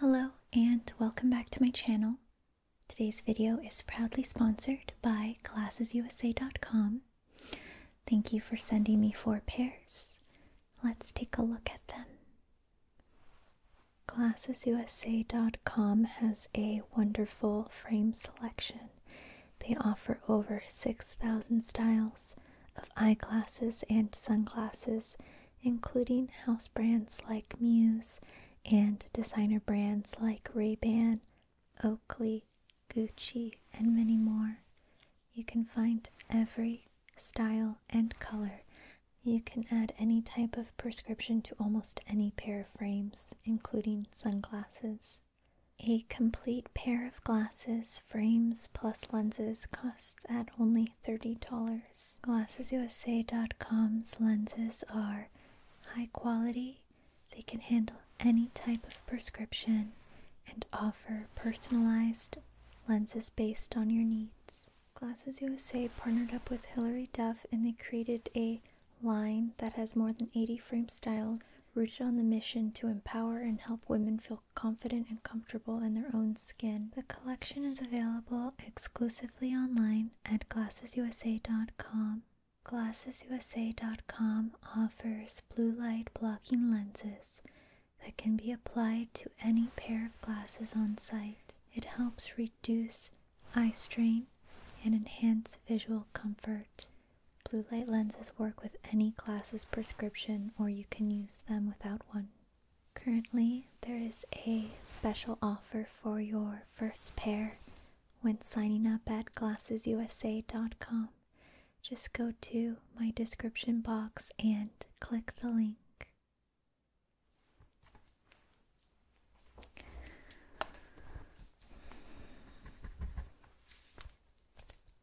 Hello and welcome back to my channel. Today's video is proudly sponsored by GlassesUSA.com. Thank you for sending me four pairs. Let's take a look at them. GlassesUSA.com has a wonderful frame selection. They offer over 6,000 styles of eyeglasses and sunglasses including house brands like Muse and designer brands like Ray-Ban, Oakley, Gucci, and many more. You can find every style and color. You can add any type of prescription to almost any pair of frames, including sunglasses. A complete pair of glasses, frames, plus lenses costs at only $30. GlassesUSA.com's lenses are high quality, they can handle any type of prescription, and offer personalized lenses based on your needs. GlassesUSA partnered up with Hilary Duff and they created a line that has more than 80 frame styles rooted on the mission to empower and help women feel confident and comfortable in their own skin. The collection is available exclusively online at glassesusa.com. GlassesUSA.com offers blue light blocking lenses that can be applied to any pair of glasses on site. It helps reduce eye strain and enhance visual comfort. Blue light lenses work with any glasses prescription, or you can use them without one. Currently, there is a special offer for your first pair when signing up at glassesusa.com. Just go to my description box and click the link.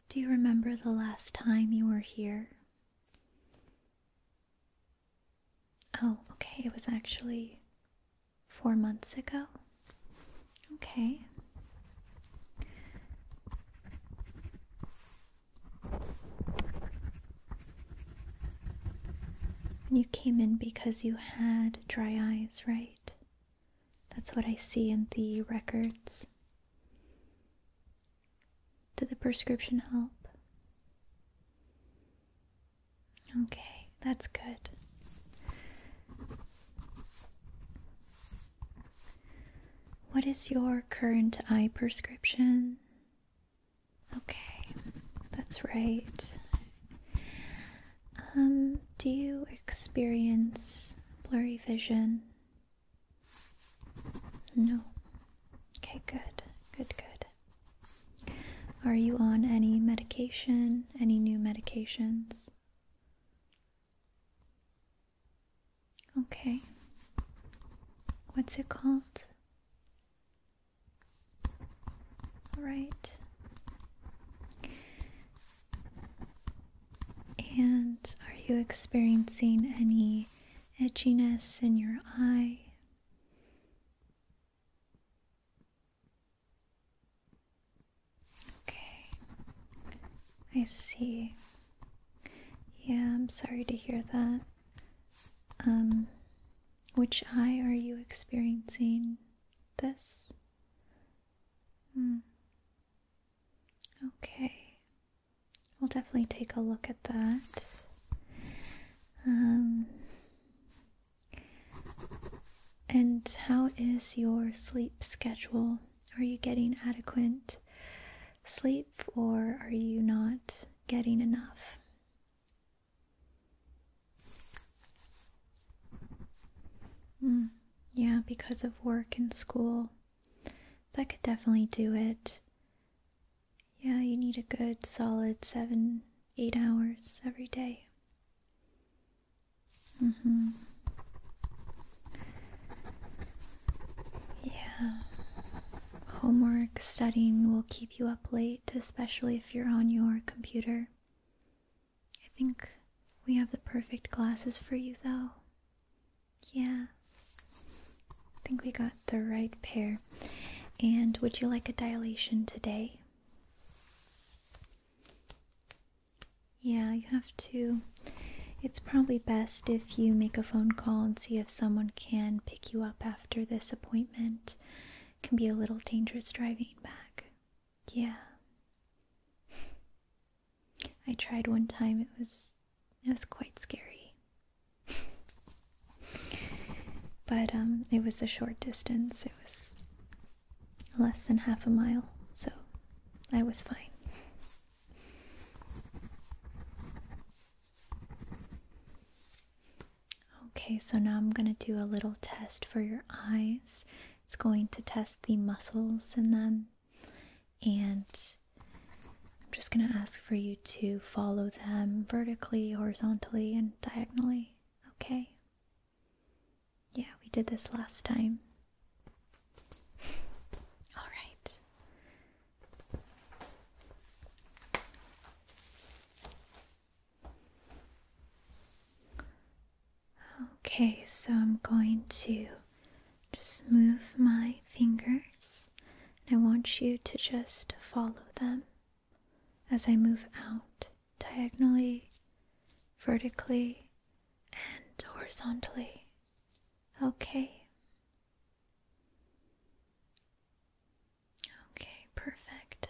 Do you remember the last time you were here? Oh, okay, it was actually four months ago. Okay. You came in because you had dry eyes, right? That's what I see in the records. Did the prescription help? Okay, that's good. What is your current eye prescription? Okay, that's right. Um, do you experience blurry vision? No. Okay, good, good, good. Are you on any medication? Any new medications? Okay. What's it called? All right. And are you experiencing any edginess in your eye. Okay, I see. Yeah, I'm sorry to hear that. Um, which eye are you experiencing this? Hmm. Okay. I'll definitely take a look at that. Um, and how is your sleep schedule? Are you getting adequate sleep or are you not getting enough? Hmm, yeah, because of work and school. That could definitely do it yeah, you need a good solid seven, eight hours every day. Mm-hmm. Yeah. Homework, studying will keep you up late, especially if you're on your computer. I think we have the perfect glasses for you, though. Yeah. I think we got the right pair. And would you like a dilation today? Yeah, you have to. It's probably best if you make a phone call and see if someone can pick you up after this appointment. can be a little dangerous driving back. Yeah. I tried one time, it was it was quite scary. but um, it was a short distance. It was less than half a mile, so I was fine. Okay, so now I'm going to do a little test for your eyes. It's going to test the muscles in them and I'm just going to ask for you to follow them vertically, horizontally, and diagonally. Okay? Yeah, we did this last time. All right. Okay, so I'm going to just move my fingers. And I want you to just follow them as I move out diagonally, vertically, and horizontally. Okay. Okay, perfect.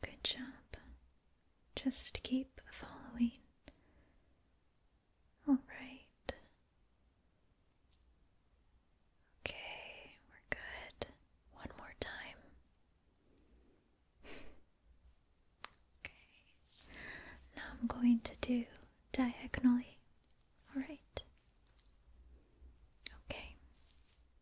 Good job. Just keep following. All right. Okay, we're good. One more time. okay. Now I'm going to do diagonally. All right. Okay.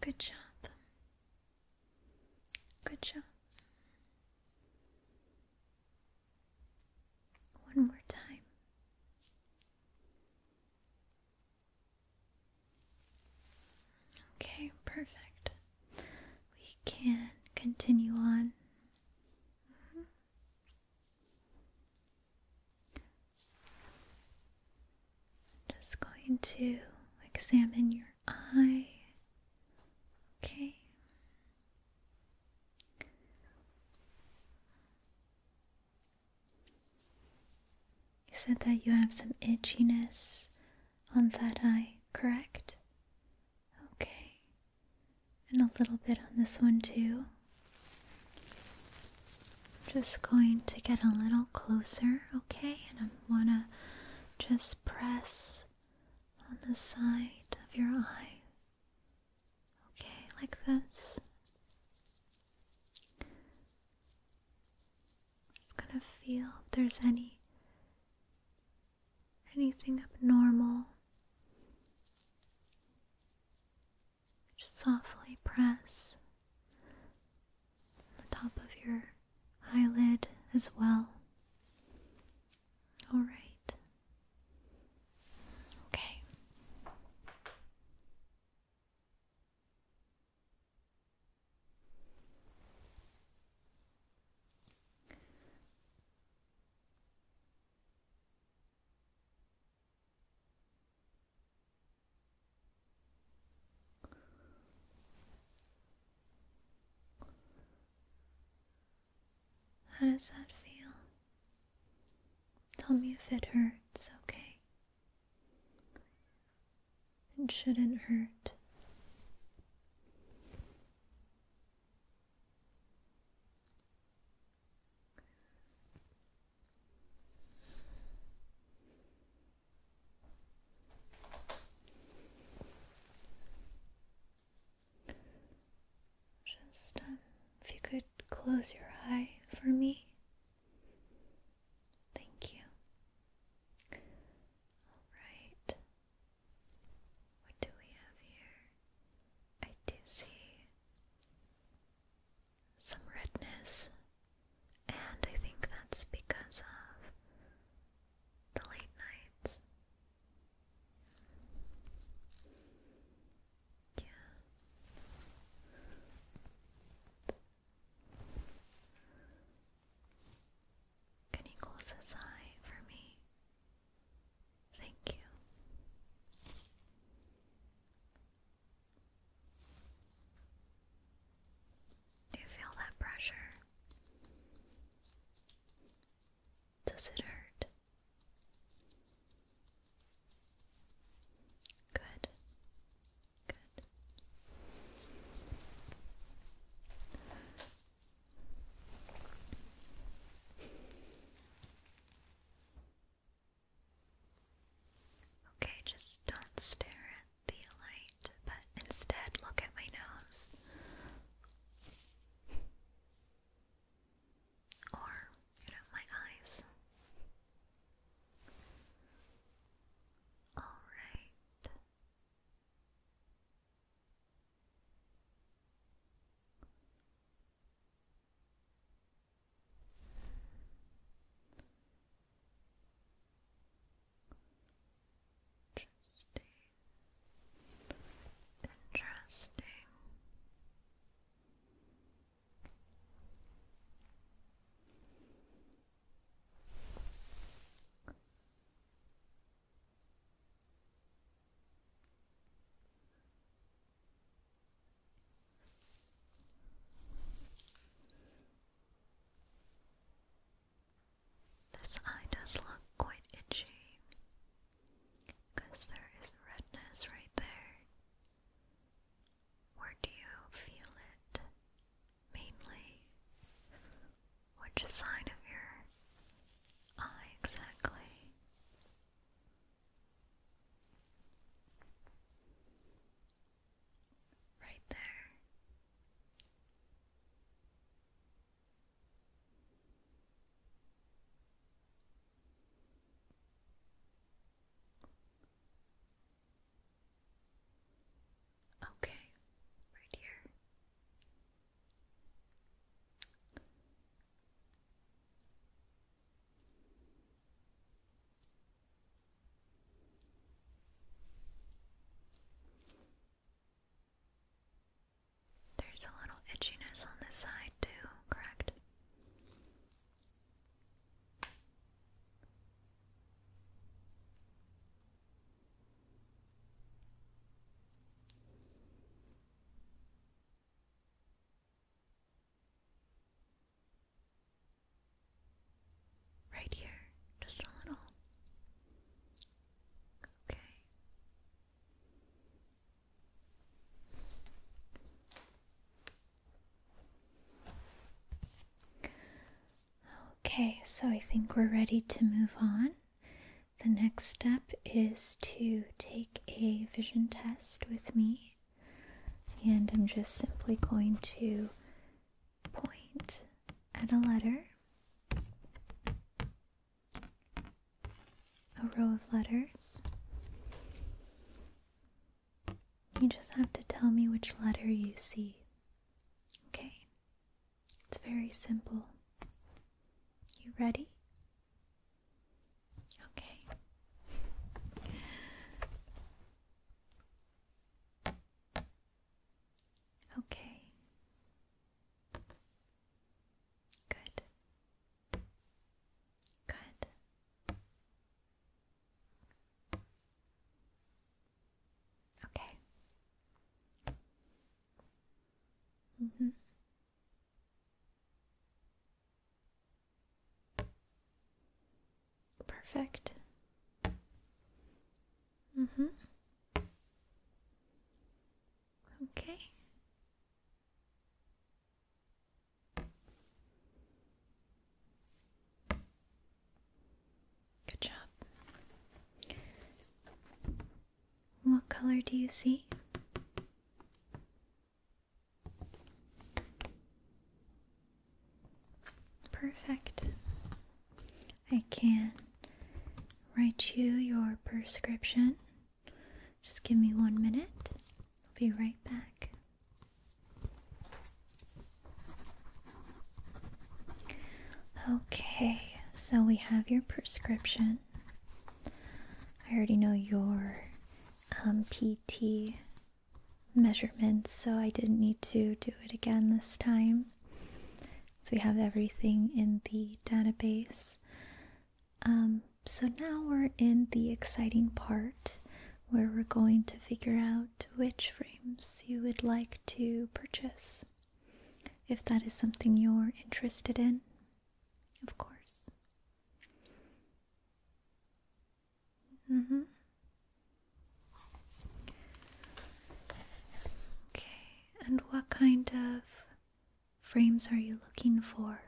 Good job. Good job. One more time. Okay, perfect. We can continue on. Mm-hmm. Just going to examine your eye. Okay. You said that you have some itchiness on that eye, correct? Okay. And a little bit on this one, too. Just going to get a little closer, okay? And I am going to just press on the side of your eye. Okay, like this. Just gonna feel if there's any anything abnormal. Just softly press the top of your eyelid as well. All right. Okay. How does that feel? Tell me if it hurts, okay? It shouldn't hurt. Just um, if you could close your eye for me. Thank you. All right. What do we have here? I do see some redness, and I think that's because of the late nights. Yeah. Can you close this eye for me? Thank you. Do you feel that pressure? Does it hurt? Good. Good. Okay, just don't stare at the light, but instead look at my nose. Or, you know, my eyes. Alright. Interesting. Interesting. This eye does look quite itchy because there is redness right there. Where do you feel it mainly? Which side of your eye exactly? Right there. Okay, right here. There's a little itchiness on this side, too, correct? Right here, just a little. Okay. Okay, so I think we're ready to move on. The next step is to take a vision test with me. And I'm just simply going to point at a letter, a row of letters. You just have to tell me which letter you see. Okay? It's very simple. You ready? Okay. Okay. Good. Good. Okay. Mhm. Mm Perfect. Mm hmm. Okay. Good job. What color do you see? Perfect. I can write you your prescription. Just give me one minute. I'll be right back. Okay, so we have your prescription. I already know your um, PT measurements, so I didn't need to do it again this time. So we have everything in the database. Um, so now we're in the exciting part where we're going to figure out which frames you would like to purchase, if that is something you're interested in, of course. Mm hmm. Okay, and what kind of frames are you looking for?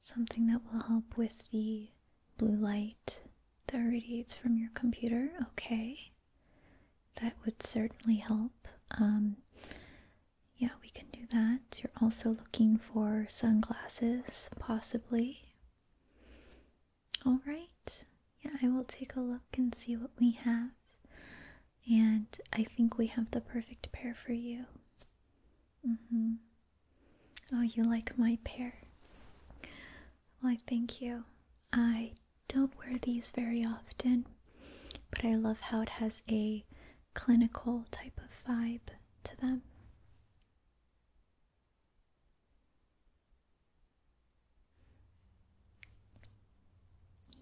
Something that will help with the blue light that radiates from your computer. Okay that would certainly help. Um, yeah, we can do that. You're also looking for sunglasses, possibly. All right. Yeah, I will take a look and see what we have. And I think we have the perfect pair for you. Mm hmm. Oh, you like my pair? Why, thank you. I don't wear these very often, but I love how it has a clinical type of vibe to them.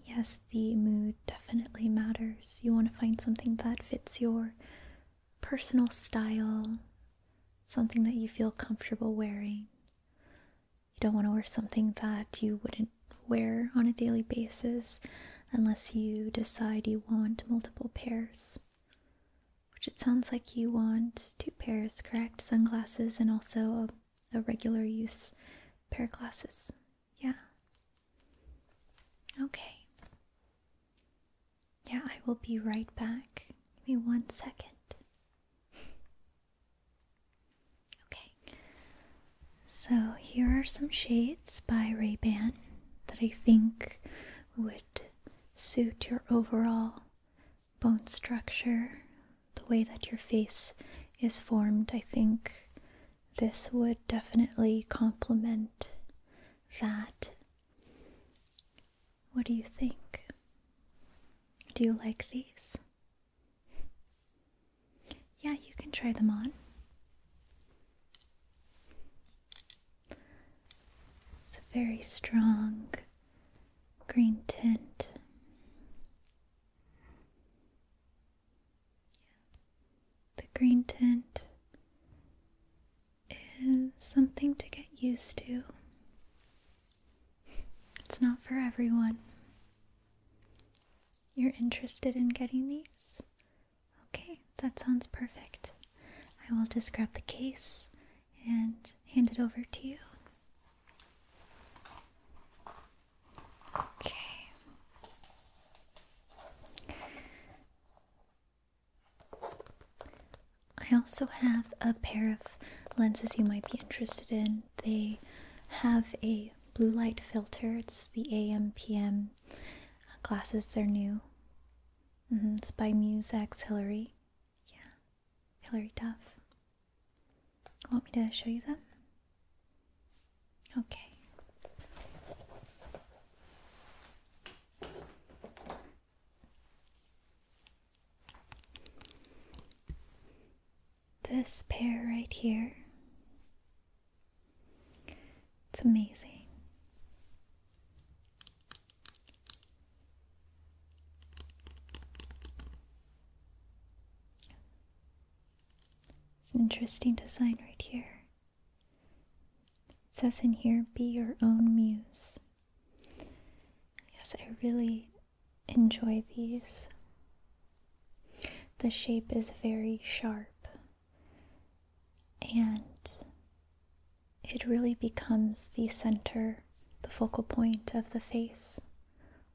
Yes, the mood definitely matters. You want to find something that fits your personal style, something that you feel comfortable wearing. You don't want to wear something that you wouldn't wear on a daily basis unless you decide you want multiple pairs. Which it sounds like you want two pairs, correct? Sunglasses and also a, a regular use pair of glasses. Yeah. Okay. Yeah, I will be right back. Give me one second. Okay, so here are some shades by Ray-Ban that I think would suit your overall bone structure, the way that your face is formed. I think this would definitely complement that. What do you think? Do you like these? Yeah, you can try them on. It's a very strong green tint. The green tint is something to get used to. It's not for everyone. You're interested in getting these? Okay, that sounds perfect. I will just grab the case and hand it over to you. Okay. I also have a pair of lenses you might be interested in they have a blue light filter. It's the AMPM glasses, they're new. Mm-hmm. It's by Musex Hillary. Yeah, Hillary Duff. Want me to show you them? Okay. This pair right here, it's amazing. It's an interesting design right here. It says in here, be your own muse. Yes, I really enjoy these. The shape is very sharp and it really becomes the center, the focal point of the face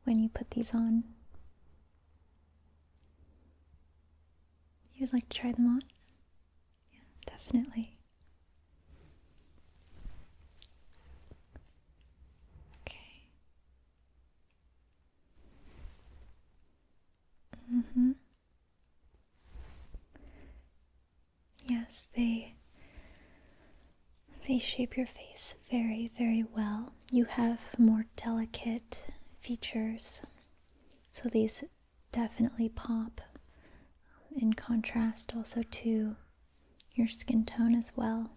when you put these on. You'd like to try them on? Yeah, definitely. Okay. Mm hmm. Yes, they they shape your face very, very well. You have more delicate features, so these definitely pop in contrast also to your skin tone as well.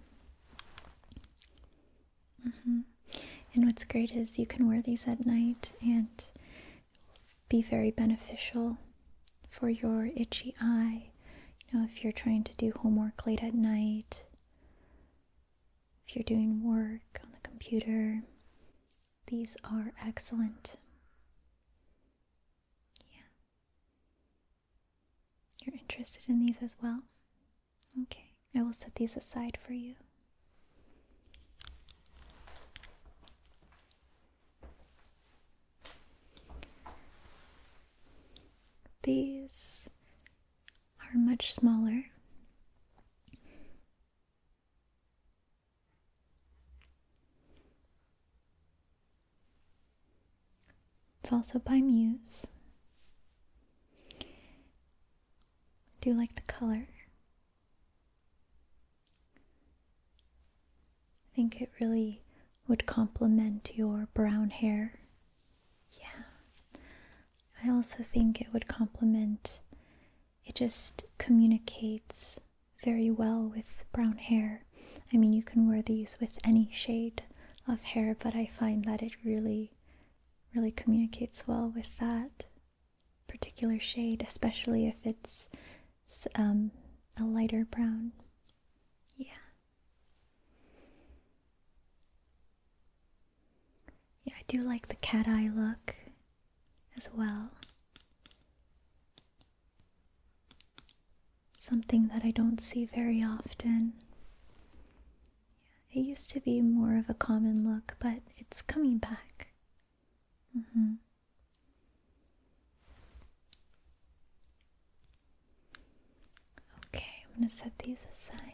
Mm-hmm. And what's great is you can wear these at night and be very beneficial for your itchy eye. You know, if you're trying to do homework late at night, if you're doing work on the computer, these are excellent. Yeah. You're interested in these as well? Okay, I will set these aside for you. These are much smaller. It's also by Muse. Do you like the color? I think it really would complement your brown hair. Yeah. I also think it would complement, it just communicates very well with brown hair. I mean, you can wear these with any shade of hair, but I find that it really, really communicates well with that particular shade, especially if it's um, a lighter brown. Yeah. Yeah, I do like the cat eye look as well. Something that I don't see very often. It used to be more of a common look, but it's coming back. Mm -hmm. Okay, I'm going to set these aside.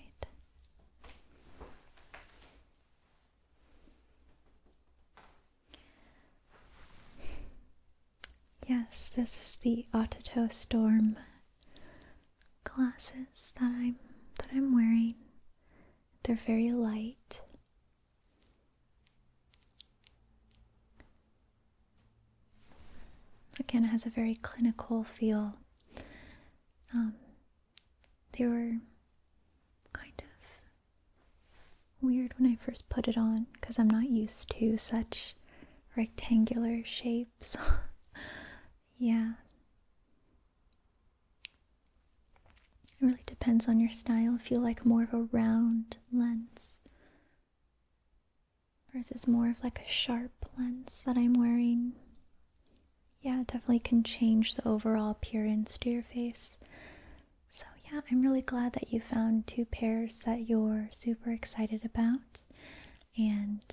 Yes, this is the Ototo Storm glasses that I'm that I'm wearing. They're very light. Again, it has a very clinical feel. Um, they were kind of weird when I first put it on because I'm not used to such rectangular shapes. yeah. It really depends on your style. If you like more of a round lens versus more of like a sharp lens that I'm wearing. Yeah, definitely can change the overall appearance to your face. So, yeah, I'm really glad that you found two pairs that you're super super excited about. And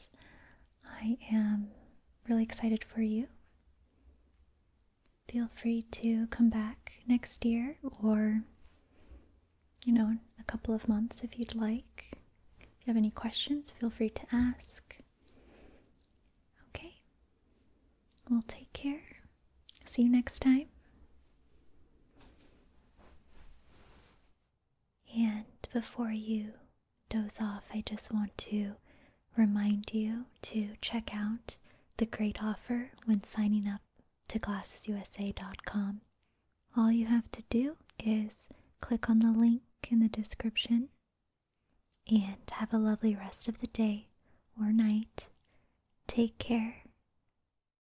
I am really excited for you. Feel free to come back next year or, you know, a couple of months if you'd like. If you have any questions, feel free to ask. Okay. we'll take care. See you next time. And before you doze off, I just want to remind you to check out the great offer when signing up to glassesusa.com. All you have to do is click on the link in the description and have a lovely rest of the day or night. Take care.